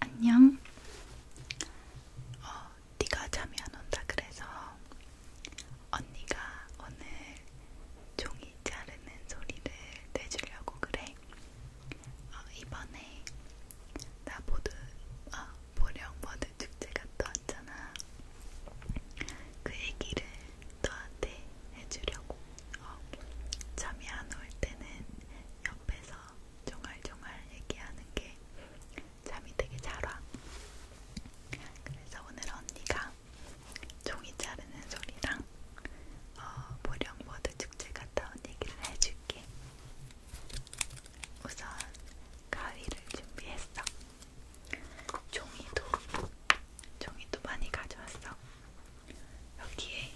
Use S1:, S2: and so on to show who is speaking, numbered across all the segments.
S1: 안녕. 어, 네가 잠이 안 온다 그래서 언니가 오늘 종이 자르는 소리를 내주려고 그래. 어, 이번에 나 보드, 어, 보령 보드 축제 갔다 왔잖아. 그 얘기를 너한테 해주려고 어, 잠이 안 올 때는 옆에서 종알종알 얘기하는 게 잠이 되게 잘 와. 그래서 오늘 언니가 종이 자르는 소리랑 어, 보령보드 축제 갔다 온 얘기를 해줄게. 우선 가위를 준비했어. 종이도 종이도 많이 가져왔어. 여기에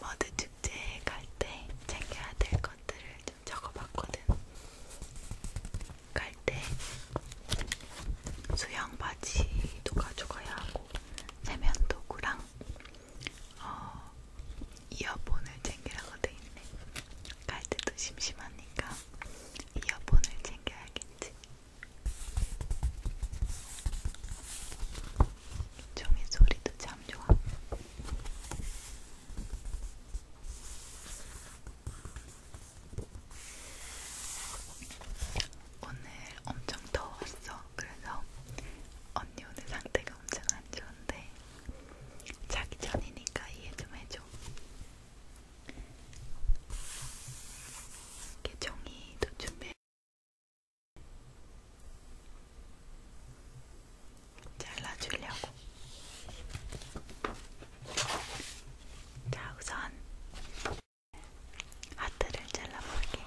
S1: 머드 축제 갈때 챙겨야 될 것들을 좀 적어봤거든. 갈 때 수영 바지도 가져가야 하고 세면 도구랑 어, 이어폰을 챙기라고 돼 있네. 갈 때도 심심하니까 이어폰을 챙겨야겠지. 종이 소리도 참 좋아. 오늘 엄청 더웠어. 그래서 언니 오늘 상태가 엄청 안 좋은데 자기 전이니까 이해 좀 해줘. 이렇게 종이도 준비. 잘라주려고. 자, 우선 하트를 잘라볼게.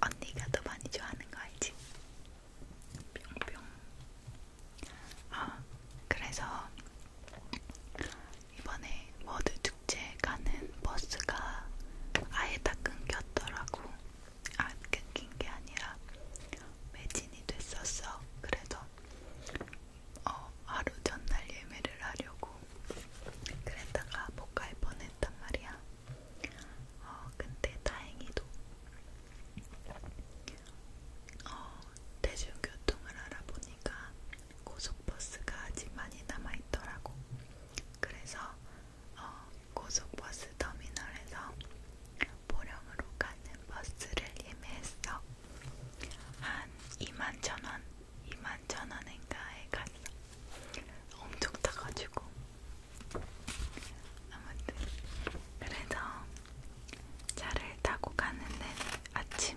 S1: 언니가 더 많이 좋아하는 거 알지? 뿅뿅. 아, 그래서 이번에 워드 축제 가는 버스가 아예 다 끊겼더라고. 아, 끊긴 게 아니라 매진이 됐었어. 그래서 어, 하루 전날 예매를 하려고 그랬다가 못 갈 뻔했단 말이야. 어, 근데 다행히도 어, 대중교통을 알아보니까 고속버스가 아직 많이 남아있더라고. 그래서 어, 고속버스 터미널에서 보령으로 가는 버스를 예매했어. 한 2만 천 원. 2만천원인가에 갔어. 엄청 타가지고. 아무튼 그래서 차를 타고 가는데 아침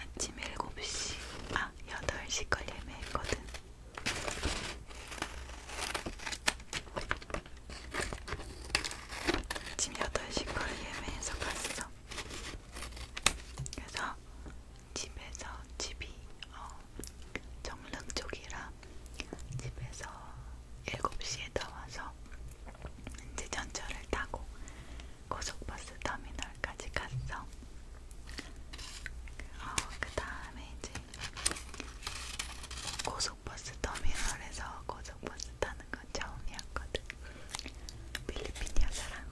S1: 아침 7시 아 8시 걸 예매했거든. 아침 8시 걸 예매해서 갔어. 그래서 집에서 집이 어, 정릉 쪽이라 집에서 7시에 나와서 이제 전철을 타고 고속버스 터미널까지 갔어. 어, 그 다음에 이제 고속버스 터미널에서 고속버스 타는 건 처음이었거든. 필리핀 여자랑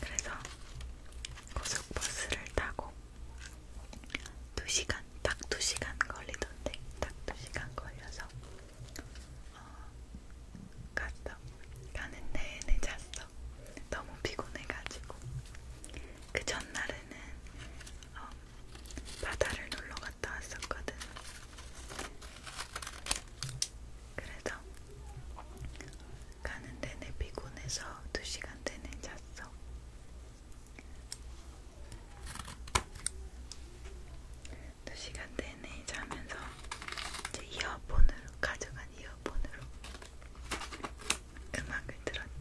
S1: 그래서 고속버스를 타고 2시간, 딱 2시간 걸리던데 딱 2시간 걸려서 어, 갔어. 가는 내내 잤어. 너무 피곤해가지고 그 전날에는 어, 바다를 놀러 갔다 왔었거든. 그래서 가는 내내 피곤해서 2시간 내내 잤어. 두 시간 내내 자면서 이제 이어폰으로 가져간 이어폰으로 음악을 들었지.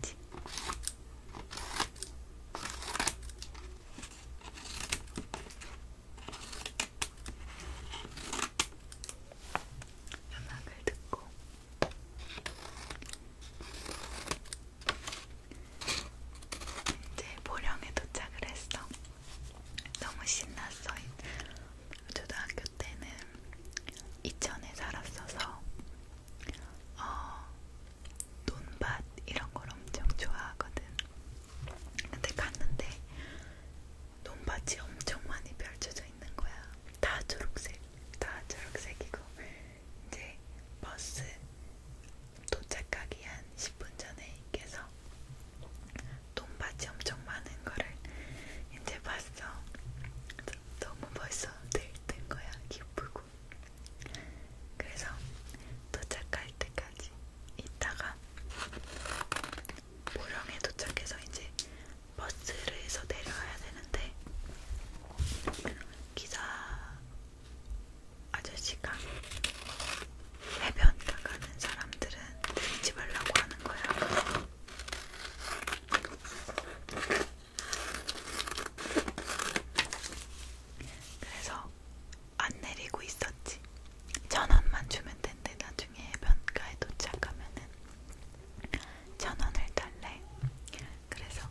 S1: 음악을 듣고 이제 보령에 도착을 했어. 너무 신났어. 초등학교 때는 이천에 살았어서 어, 논밭 이런 걸 엄청 좋아하거든. 근데 갔는데 논밭이 엄청 많이 펼쳐져 있는 거야. 다 초록색, 다 초록색이고 이제 버스 도착하기 한 10분 전에 깨서 논밭이 엄청 많은 거를 이제 봤어. 너무 벌써 들뜬 거야, 기쁘고. 그래서 도착할 때까지 있다가 보령에 도착해서 이제 버스에서 내려야 되는데 기사 아저씨가 해변 나가는 사람들은 내리지 말라고 하는 거야. 그래서 안 내리고 있었지. 천 원만 주면 된대. 나중에 해변가에 도착하면은 천원을 달래. 그래서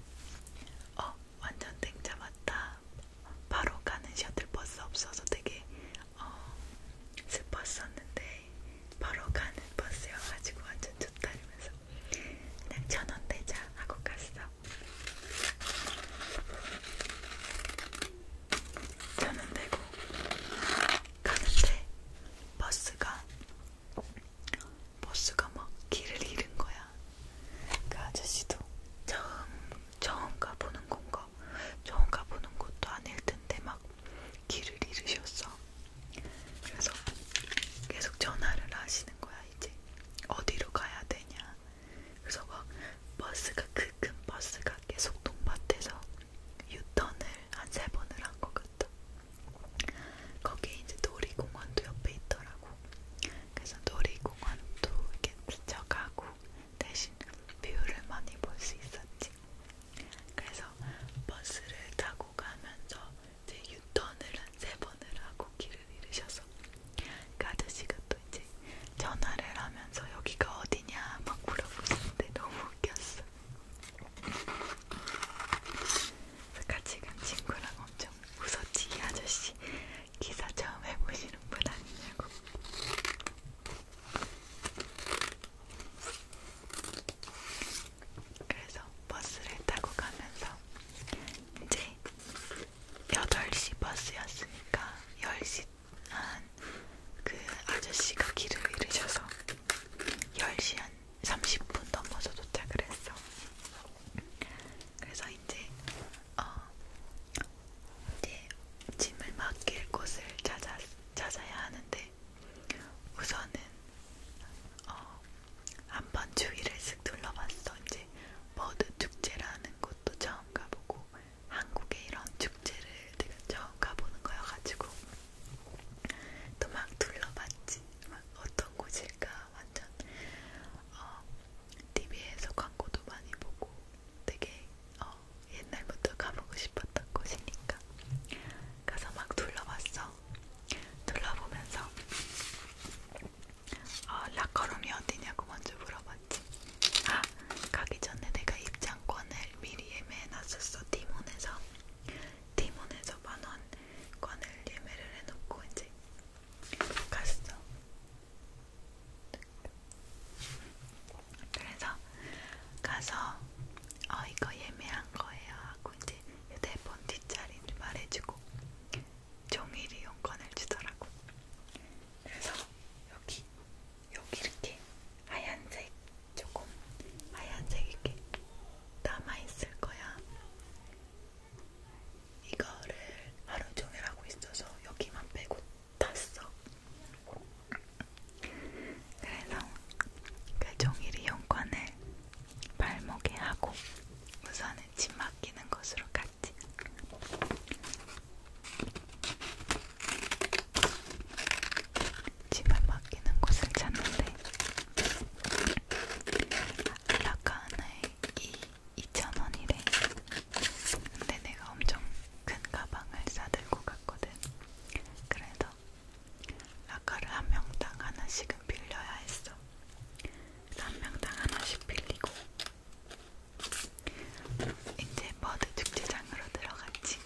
S1: 어 완전 땡 잡았다. 바로 가는 셔틀버스 없어서 되게 어 슬펐었는데 바로 가는 버스여가지고 완전 좋다 이러면서 그냥 천원 대자 하고 갔어. 천원 대고 가는데 버스가 버스가 막 길을 잃은 거야. 그 아저씨도 처음 처음 가보는 건가 처음 가보는 곳도 아닐 텐데 막 길을 잃으셨어. 그래서 계속 전화를 하시는 거야 이제 어디로 가야 되냐. 그래서 막 버스가 그 큰 버스가 계속 동밭에서 유턴을 한 세 번을 한 것 같아. 거기 이제 놀이공원도 옆에 있더라고. 그래서 놀이공원도 이렇게 스쳐가고 대신 뷰를 많이 볼 수 있었지. 그래서 버스를 타고 가면서 이제 유턴을 한 세 번을 하고 길을 잃으셔서 그 아저씨가 또 이제 전화를 하면서 여기가 어디냐 막 물어보시는데 너무 웃겼어. 제가 그러니까 지금 친구랑 엄청 웃어치기 아저씨 기사 처음 해보시는 분 아니냐고. 그래서 버스를 타고 가면서 이제 8시 버스였으니까 10시 한 그 아저씨가 길을 잃으셔서 10시 한 30분 넘어서 도착을 했어. 그래서 이제 어 이제 짐을 맡길 곳을 찾아 찾아야 하는데 우선은 어한번 주위를 쓱 둘러봤어. 이제 버드 축제라는 곳도 처음 가보고 한국에 이런 축제를 내가 처음 가보는 거여가지고 또막 둘러봤지. 막 어떤 곳일까 완전 어, TV에서 광고도 많이 보고 되게 어, 옛날부터 가보고 싶었던 곳이니까 가서 막 둘러봤어. 둘러보면서 어, 라커룸이 어디냐고 먼저 물어봤지. 아 가기 전에 내가 입장권을 미리 예매해놨었어 티몬에서. 팀원에서 만원권을 예매를 해놓고 이제 갔어. 그래서 가서 어 이거 예매한 거예요 하고 이제 휴대폰 네 뒷자리를 말해주고 종일 이용권을 주더라고. 그래서 여기 여기 이렇게 하얀색 조금 하얀색이 게 남아있을 거야. 이거를 하루 종일 하고 있어서 여기만 빼고 탔어. 그래서 그 종일 이용권을 발목에 하고 우선은 침 맡기는 것으로 갔지. 집을 맡기는 곳을 찾는데 라카하나에 이 2,000원이래 근데 내가 엄청 큰 가방을 싸들고 갔거든 그래서 라카를 한 명당 하나씩은 빌려야 했어 한 명당 하나씩 빌리고 이제 버드 축제장으로 들어갔지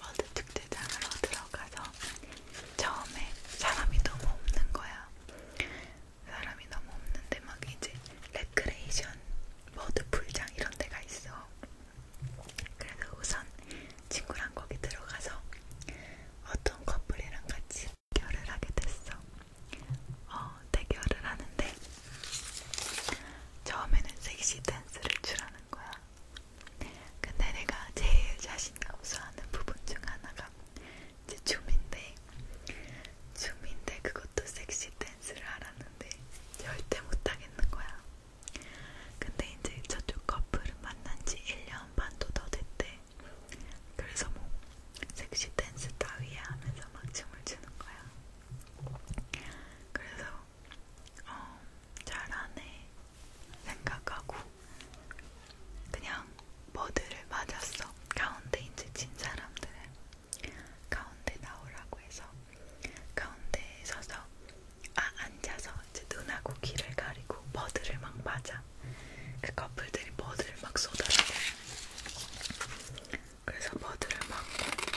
S1: 어느 특대장으로 들어가서 처음에 사람이 너무 없는 거야. 사람이 너무 없는데 막 이제 레크레이션, 버드 풀장 이런 데가 있어. 그래서 우선 친구랑 거기 들어가서 어떤 커플이랑 같이 대결을 하게 됐어. 어, 대결을 하는데 처음에는 섹시 댄스를 추라는 거야. 근데 내가 제일 자신감 없어하는 부분 중 하나가 이제 춤인데 춤인데 그것도 섹시 댄스를 하라는데 절대 못하겠는 거야. 근데 이제 저쪽 커플은 만난 지 1년 반도 더 됐대. 그래서 뭐 섹시 댄스 따위야 하면서 막 춤을 추는 거야. 그래서 어, 잘하네 생각하고 그냥 버드를 맞았어. 가운데 이제 진 사람들은 가운데 나오라고 해서 가운데에 서서 아 앉아서 이제 눈하고 귀를 가리고 버드를 막 맞아. 그 커플들이 버드를 막 쏟아라고. 그래서 버드를 맞고.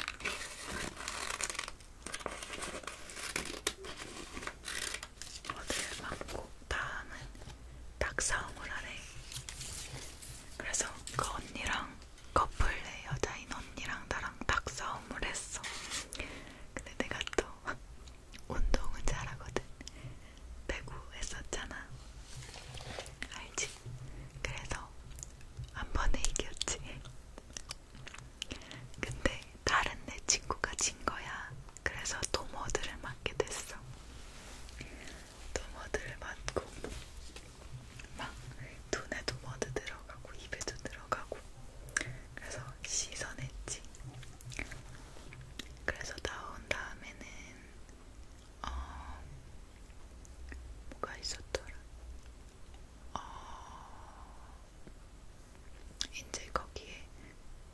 S1: 버드를 맞고 다음은 닭싸움을 하래. 그래서 그 언니랑 커플의 여자인 언니랑 나랑 닭싸움을 했어. 근데 내가 또 운동은 잘하거든. 배구 했었잖아. 알지? 그래서 한 번에 이겼지. 근데 다른 내 친구가 진 거야. 그래서 도모드를 맞게 됐어. 도모드를 맞고 막 눈에도 머드 들어가고 입에도 들어가고 그래서 씻어냈지. 그래서 나온 다음에는 어 뭐가 있었더라. 어 이제 거기에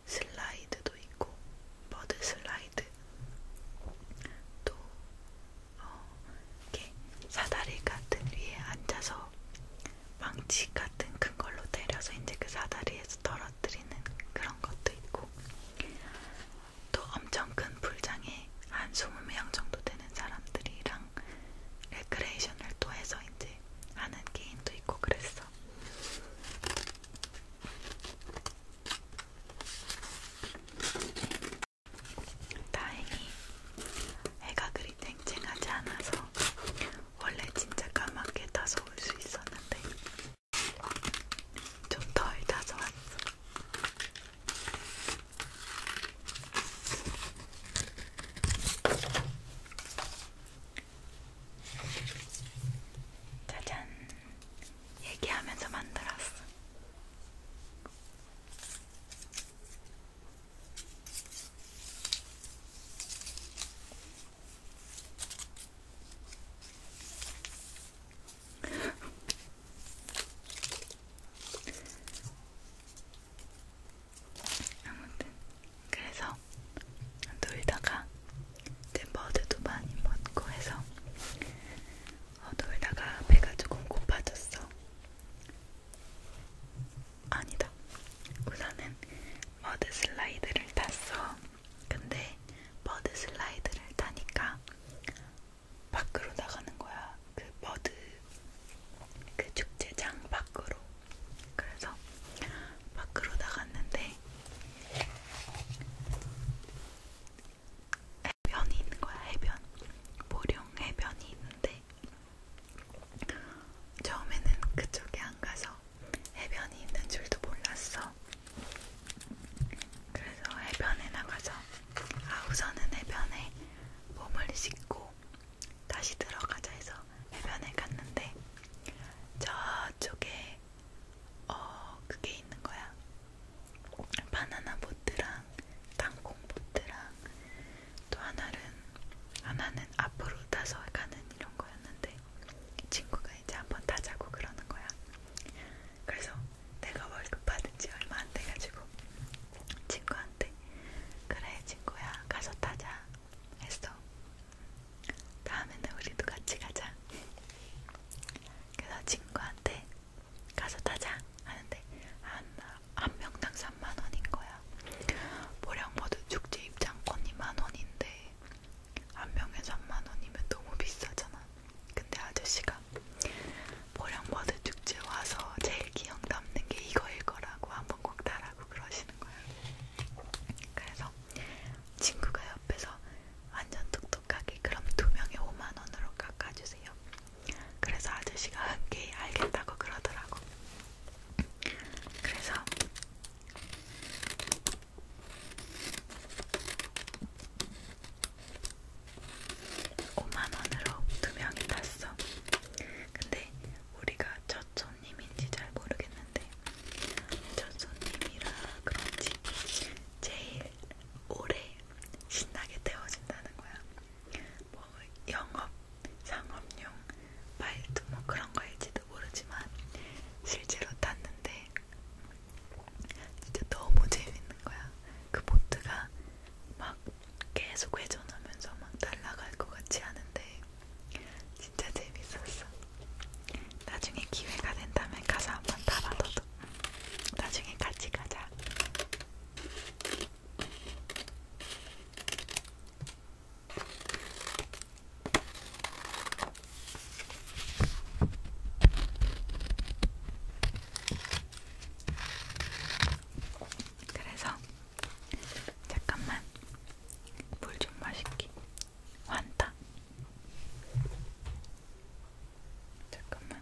S1: 슬라이드도 있고 버드 슬라이드 또 어, 이렇게 사다리 같은 위에 앉아서 망치 같은 큰 걸로 때려서 이제 그 사다리에서 떨어뜨리는 그런 것도 있고 또 엄청 큰 불장에 한 20명 정도 되는 사람들이랑 레크레이션을 또 해서 이제 하는 게임도 있고 그랬어. 다행히 해가 그리 쨍쨍하지 않아서 원래 진짜 까맣게 타서 올수 있었는데 좀 덜 타서 왔어. 짜잔. 얘기하면서 만들었어. 아무튼 그래서 놀다가 댄버드도 많이 먹고 해서 어, 놀다가 배가 조금 고파졌어. 아니다. 우선은 머드 슬라이드를 탔어. 근데 머드 슬라이드를 타니까 밖으로 나가는 거야. 그 머드 그 축제장 밖으로. 그래서 밖으로 나갔는데 해변이 있는 거야. 해변. 보령 해변이 있는데 처음에는 그쪽에 안 가서 해변이 있는 줄도 몰랐어. 그래서 해변에 나가서 아 우선은 해변에 몸을 씻고 다시 들어가자 해서 해변에 갔는데 저쪽에 어 그게 있는 거야. 바나나 보트랑 땅콩 보트랑 또 하나는 하나는 앞으로 타서 가는 이런 거였는데 친구가 이제 한번 타자고 그러는 거야. 그래서 내가 월급 받은 지 얼마 안 돼가지고 친구한테 그래 친구야 가서 타자 했어. 다음에는 우리도 같이 가자. 그래서 친구한테 가서 타자 하는데 한한 명당 3 3만원인 거야. 모량보드 축제 입장권이 만원인데, 한 명에 3만원이면 너무 비싸잖아. 근데 아저씨가 모량보드 축제 와서 제일 기억 남는 게 이거일 거라고 한 번 꼭 달라고 그러시는 거야. 그래서 친구가 옆에서 완전 똑똑하게 그럼 두 명에 5만원으로 깎아주세요. 그래서 아저씨가 흔쾌히 알겠다고 그러더라고. 그래서 오만원으로두 명이 탔어. 근데 우리가 첫 손님인지 잘 모르겠는데 첫 손님이라 그런지 제일 오래 신나게 태워준다는 거야. 뭐 영업, 상업용 파일도 뭐 그런 거일지도 모르지만 실제로 탔는데 진짜 너무 재밌는 거야. 그 보트가 막 계속 회전하면서 막 날아갈 것 같지 않은데 진짜 재밌었어. 나중에 기회가 된다면 가서 한번 타봐 너도. 나중에 같이 가자. 그래서 잠깐만 물 좀 마실게. 환타. 잠깐만.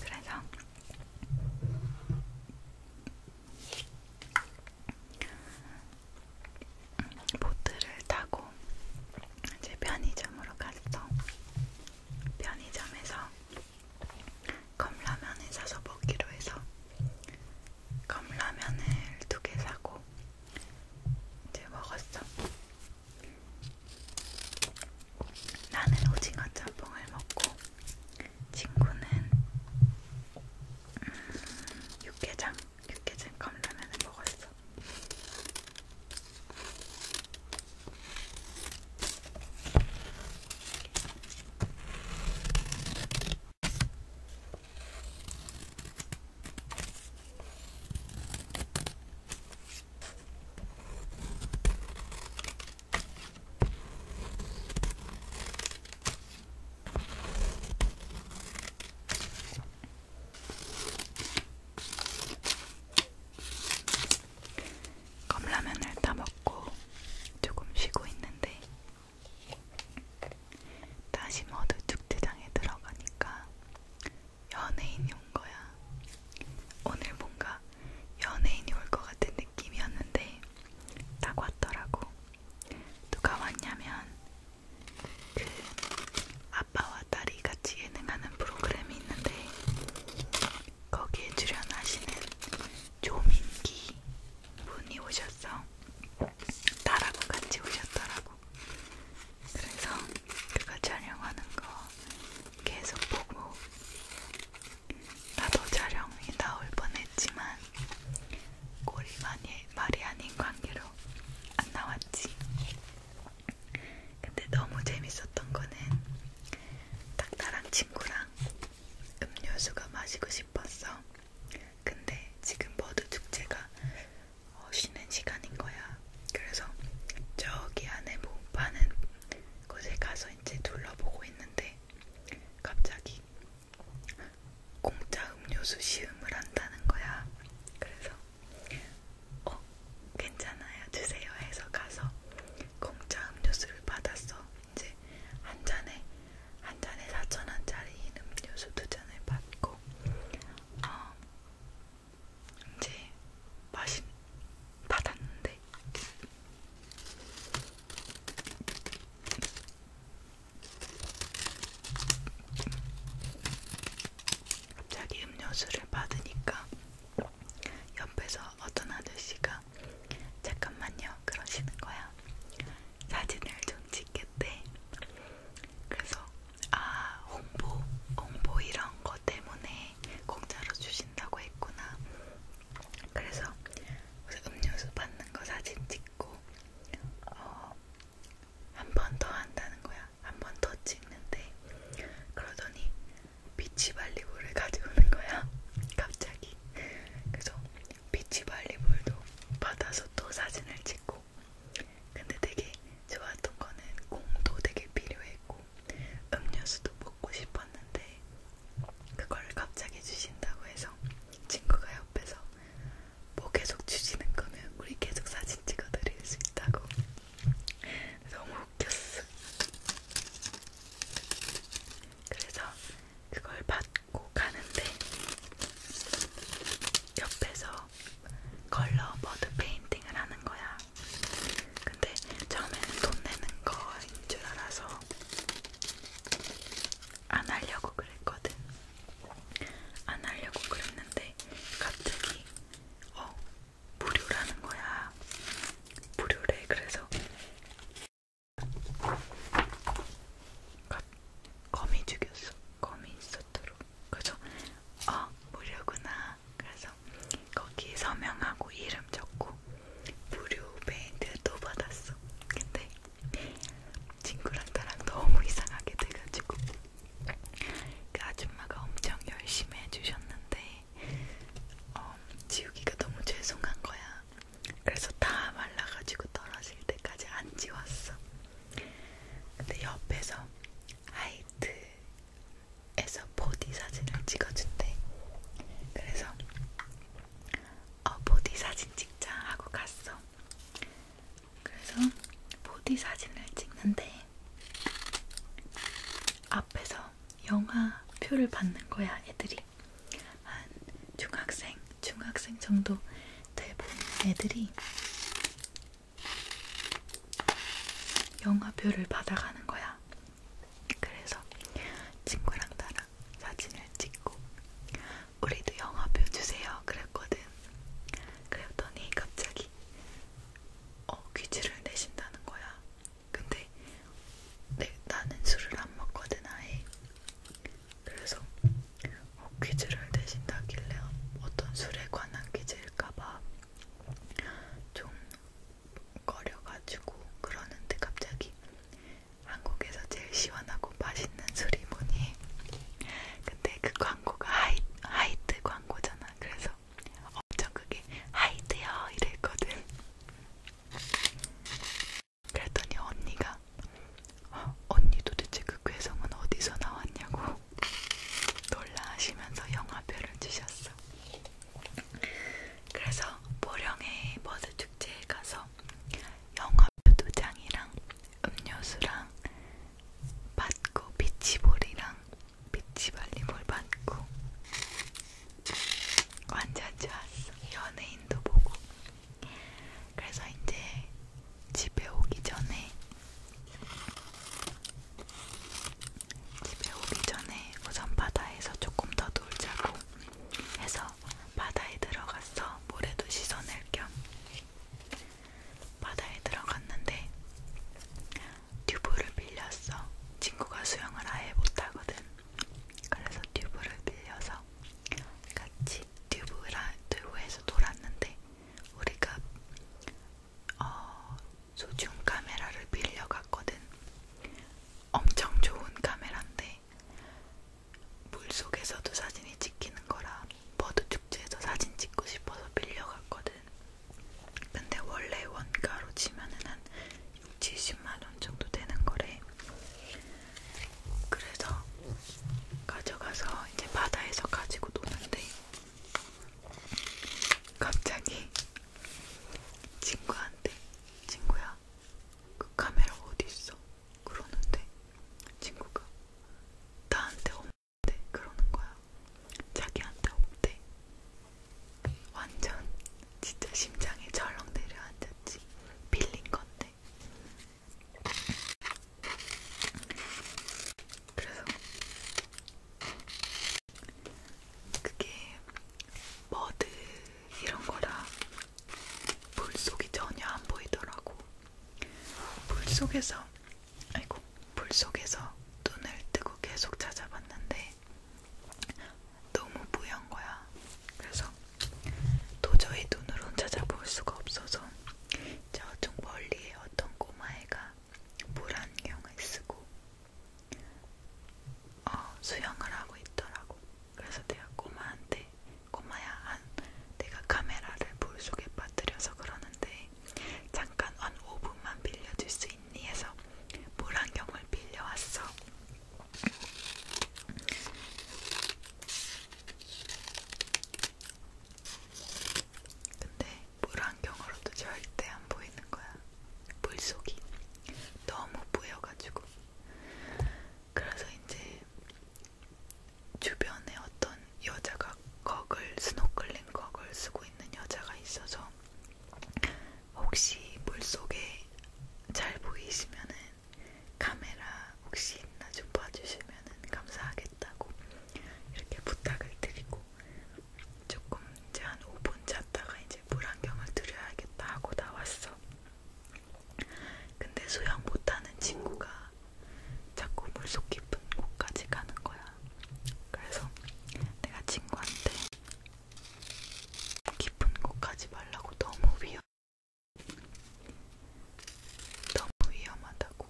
S1: 그래서 보트를 타고 이제 편의점으로 갔어. 편의점에서 컵라면을 사서 먹기로 해서 컵라면을 두 개 사고 이제 먹었어. 나는 오징어 짬뽕을 먹고 친구는 음, 육개장, 육개장 컵라면을 먹었어. 컵라면을 다 먹고 조금 쉬고 있는데 다시 모두 축제장에 들어가니까 연예인이 온 거야. 오늘 뭔가 연예인이 올 것 같은 느낌이었는데 딱 왔더라고. 누가 왔냐면 그 아빠와 딸이 같이 예능하는 프로그램이 있는데 거기에 출연하시는 조민기 분이 오셨어. 나라고 같이 오셨더라고. 그래서 그가 촬영하는 거 계속 보고 나도 촬영이 나올 뻔했지만 꼴이 많이 말이 아닌 관계로 안 나왔지. 근데 너무 재밌었던 거는 딱 나랑 친구랑 음료수가 마시고 싶었어. 근데 지금 버드 축제가 어, 쉬는 시간인 거야. 그래서 저기 안에 뭐 파는 곳에 가서 이제 둘러보고 있는데 갑자기 공짜 음료수 시음을 한다는 거야. 그래서 어 괜찮아요 주세요 해서 가서 공짜 음료수를 받았어. 이제 한 잔에 한 잔에 4천 원짜리인 음료수 두 잔을 받고 어, 이제 맛이 받았는데 갑자기 음료수를 받으니까 옆에서 어떤 아저씨가 잠깐만요 그러시는 거야. 사진을 좀 찍겠대. 그래서 아 홍보 홍보 이런 거 때문에 공짜로 주신다고 했구나. 그래서 음료수 받는 거 사진 찍고 어, 한 번 더 한다는 거야. 한 번 더 찍는데 그러더니 비치발리볼을 가져오는 거야. 갑자기. 그래서 비치발리볼도 받아서 또 사진을 찍고. 있고 근데 되게 좋았던 거는 공도 되게 필요했고 음료수도 먹고 싶었는데 그걸 갑자기 주신다고 해서 친구가 옆에서 뭐 계속 주시는 거면 우리 계속 사진 찍어드릴 수 있다고 너무 웃겼어 그래서 그걸 받고 가는데 옆에서 컬러 버드 페인팅을 하는 거야. 근데 처음에는 돈 내는 거인 줄 알아서 안 하려고 그랬거든. 안 하려고 그랬는데 갑자기 어 무료라는 거야. 무료래 그래서 거미 죽였어. 거미 있어 않도록 그래서 어 무료구나 그래서 거기 서명하고 이름 적고 무료 페인트도 받았어 근데 친구랑 나랑 너무 이상하게 돼가지고 그 아줌마가 엄청 열심히 해주셨는데 어, 지우기가 너무 죄송한 거야 그래서 다 말라가지고 떨어질 때까지 안 지웠어 근데 옆에서 하이트에서 보디 사진을 찍어준대. 그래서 어, 보디 사진 찍자 하고 갔어. 그래서 보디 사진을 찍는데 앞에서 영화 표를 받는 거야 애들이 한 중학생 중학생 정도 대부분 애들이 영화표를 받아가는 거야. 그래서 친구랑 나랑 사진을 찍고 우리도 영화표 주세요 그랬거든. 그랬더니 갑자기 어 퀴즈를 내신다는 거야. 근데 내, 나는 술을 안 먹거든 아예. 그래서 어, 퀴즈를 내신다길래 어떤 술에 관한 퀴즈일까봐 좀 꺼려가지고 그러는데 갑자기 한국에서 제일 시원하고 맛있는 술이 뭐니? 근데 그 광고가 하이, 하이트 광고잖아. 그래서 엄청 그게 하이트요 이랬거든. 그랬더니 언니가 하니까 어, 언니 도대체 그 괴성은 어디서 나왔냐고 놀라하시면서 영화표를 주셨어. 그래서 보령의 버스 축제에 가서 영화표 두 장이랑 음료수랑 받고 비치볼이랑 비치발리볼 받고 완전 좋았어. 연예인도 보고. 그래서 이제 집에 오기 전에 집에 오기 전에 우선 바다에서 조금 더 놀자고 해서 바다에 들어갔어. 모래도 씻어낼 겸 바다에 들어갔는데 튜브를 빌렸어. 친구가 수영을 아예 못하거든. 그래서 튜브를 빌려서 같이 튜브라, 튜브에서 놀았는데 우리가 어, 소중 카메라를 빌려갔거든. 엄청 좋은 카메라인데 물 속에서도 사진이 찍히는 거라 버드 축제에서 사진 찍고 싶어서 빌려갔거든. 근데 원래 원가로 치면은 한 6, 70만 원 정도 되는 거래. 그래서 가져가서 이제 바다에서 가지고 노는데 갑자기 친구한테 친구야 그 카메라 어디 있어? 그러는데 친구가 나한테 없대 그러는 거야. 자기한테 없대. 완전 진짜 심장이 절렁 내려앉았지. 빌린 건데 그래서 그게 머드 이런 거라 물속이 전혀 안 보이더라고. 물속에서 아이고 물속에서 눈을 뜨고 계속 찾아봤는데 너무 뿌연 거야. 그래서 도저히 눈으로 찾아볼 수가 없어서 저쪽 멀리에 어떤 꼬마애가 물안경을 쓰고 어, 수영을 하고 있더라고. 그래서 내가 꼬마한테 꼬마야, 한, 내가 카메라를 물 속에 빠뜨려서 그러는데 잠깐 한 5분만 빌려줄 수 있니? 해서 물안경을 빌려왔어. 근데 물안경으로도 절대 안 보이는 거야. 물속이 너무 보여가지고. 그래서 이제 주변에 어떤 여자가 거글, 스노클링 거글 쓰고 있는 여자가 있어서 혹시 물속에 잘 보이시면은 카메라 혹시 있나 좀 봐주시면은 감사하겠습니다. 해달라고 이렇게 부탁을 드리고 조금 이제 한 5분 잤다가 이제 물안경을 들여야겠다 하고 나왔어. 근데 수영 못하는 친구가 자꾸 물속 깊은 곳까지 가는 거야. 그래서 내가 친구한테 깊은 곳까지 말라고 너무 위험, 너무 위험하다고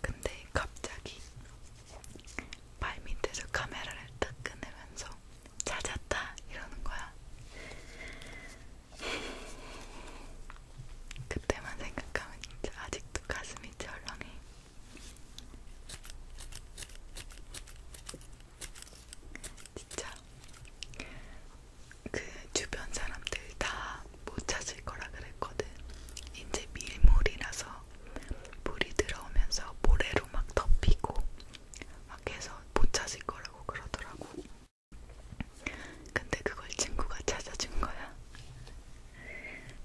S1: 근데 갑자기 발 밑에서 카메라를 딱 꺼내면서 찾았다 이러는 거야. 그때만 생각하면 진짜 아직도 가슴이 철렁해. 진짜 그 주변 사람들 다 못 찾을 거라 그랬거든. 이제 밀물이라서 물이 들어오면서 모래로 막 덮이고 막 해서 못 찾을 거라고 그러더라고. 근데 그걸 친구가 찾아준 거야.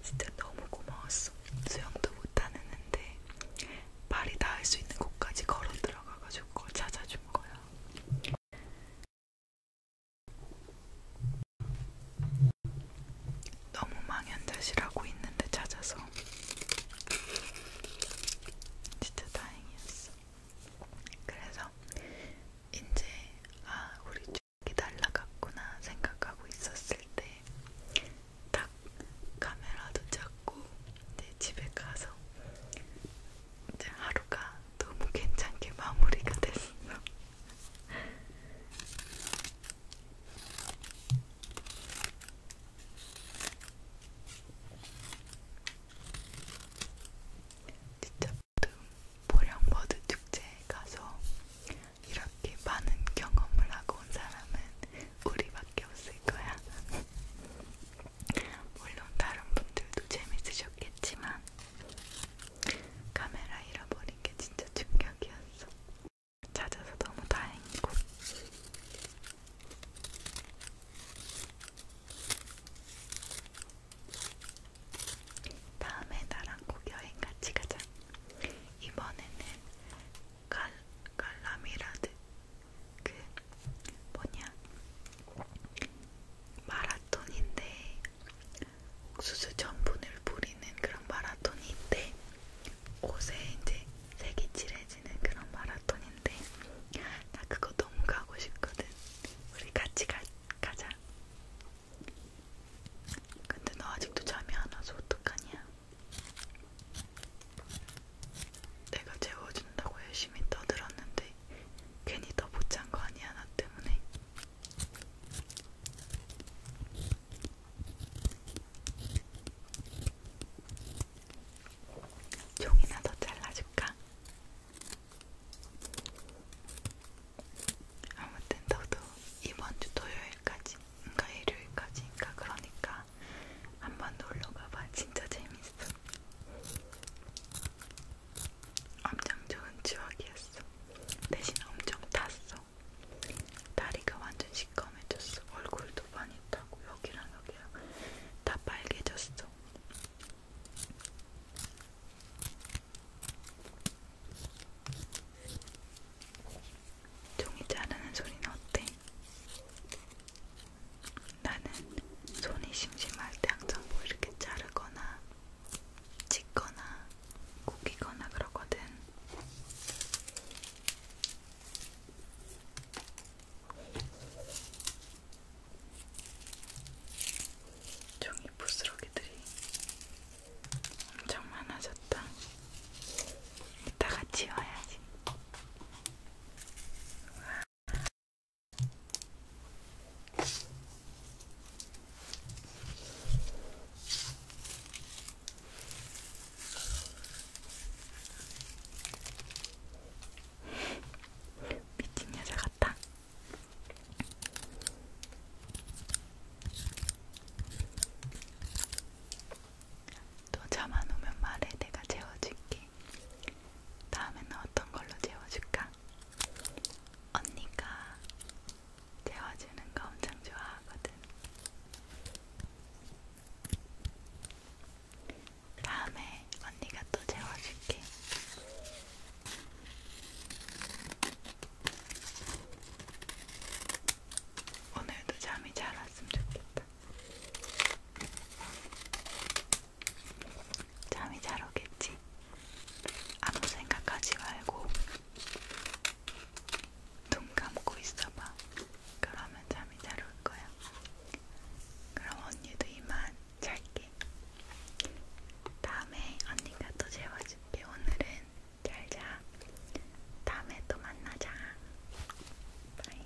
S1: 진짜 너무 고마웠어. 수영도 못하는데 발이 닿을 수 있는 곳까지 걸어 들어가가지고 찾아준 거야. 너무 망연자실하고 있는데 찾아서 진짜 다행이었어. 그래서 이제 아 우리 쪽이 날라갔구나 생각하고 있었을 때 딱 카메라도 잡고 내 집에 가서 이제 하루가 너무 괜찮게 마무리가 됐어. 진짜 보령버드 축제에 가서 이렇게 많은 경험을 하고 온 사람은 우리밖에 없을 거야. 물론 다른 분들도 재밌으셨겠지만 카메라 잃어버린 게 진짜 충격이었어. 찾아서 너무 다행이고. 다음에 나랑 꼭 여행 같이 가자. 이번에는 갈, 갈라미라드, 그, 뭐냐, 마라톤인데 옥수수 전분을 뿌리는 그런 마라톤이 있대. 옷에 이제 색이 칠해지는 그런 마라톤인데 나 그거 너무 가고 싶거든. 우리 같이 가, 가자. 근데 너 아직도 잠이 안 와서 어떡하냐? 내가 재워준다고 열심히 떠들었는데 괜히 더 못 잔 거 아니야 나 때문에. 종이나 더 잘라줄까? 아무튼 너도 이번 주 토요일까지, 인가 그러니까 일요일까지, 인가 그러니까 한번 놀러 가봐. 진짜 재밌어. 엄청 좋은 추억이었어. 대신 엄청 탔어. 다리가 완전 시꺼매졌어. 얼굴도 많이 타고 여기랑 여기랑 다 빨개졌어. 종이 자르는 소리는 어때? 나는 손이 심심할 때 항상 뭐 이렇게 자르거나 찢거나 구기거나 그러거든. 종이 부스러기들이 엄청 많아졌다. 이따가 치워야지. 와, 미친 여자 같다. 또 잠 안 오면 말해, 내가 재워줄게. 다음에는 어떤 걸로 재워줄까? 언니가 재워주는 거 엄청 좋아하거든. 다음에 언니가 또 재워줄게. 오늘도 잠이 잘 왔으면 좋겠다. 잠이 잘 오겠지? 아무 생각하지 말고 눈 감고 있어봐. 그러면 잠이 잘 올 거야. 그럼 언니도 이만 잘게. 다음에 언니가 또 재워줄게. 오늘은 잘 자. 다음에 또 만나자. 바이.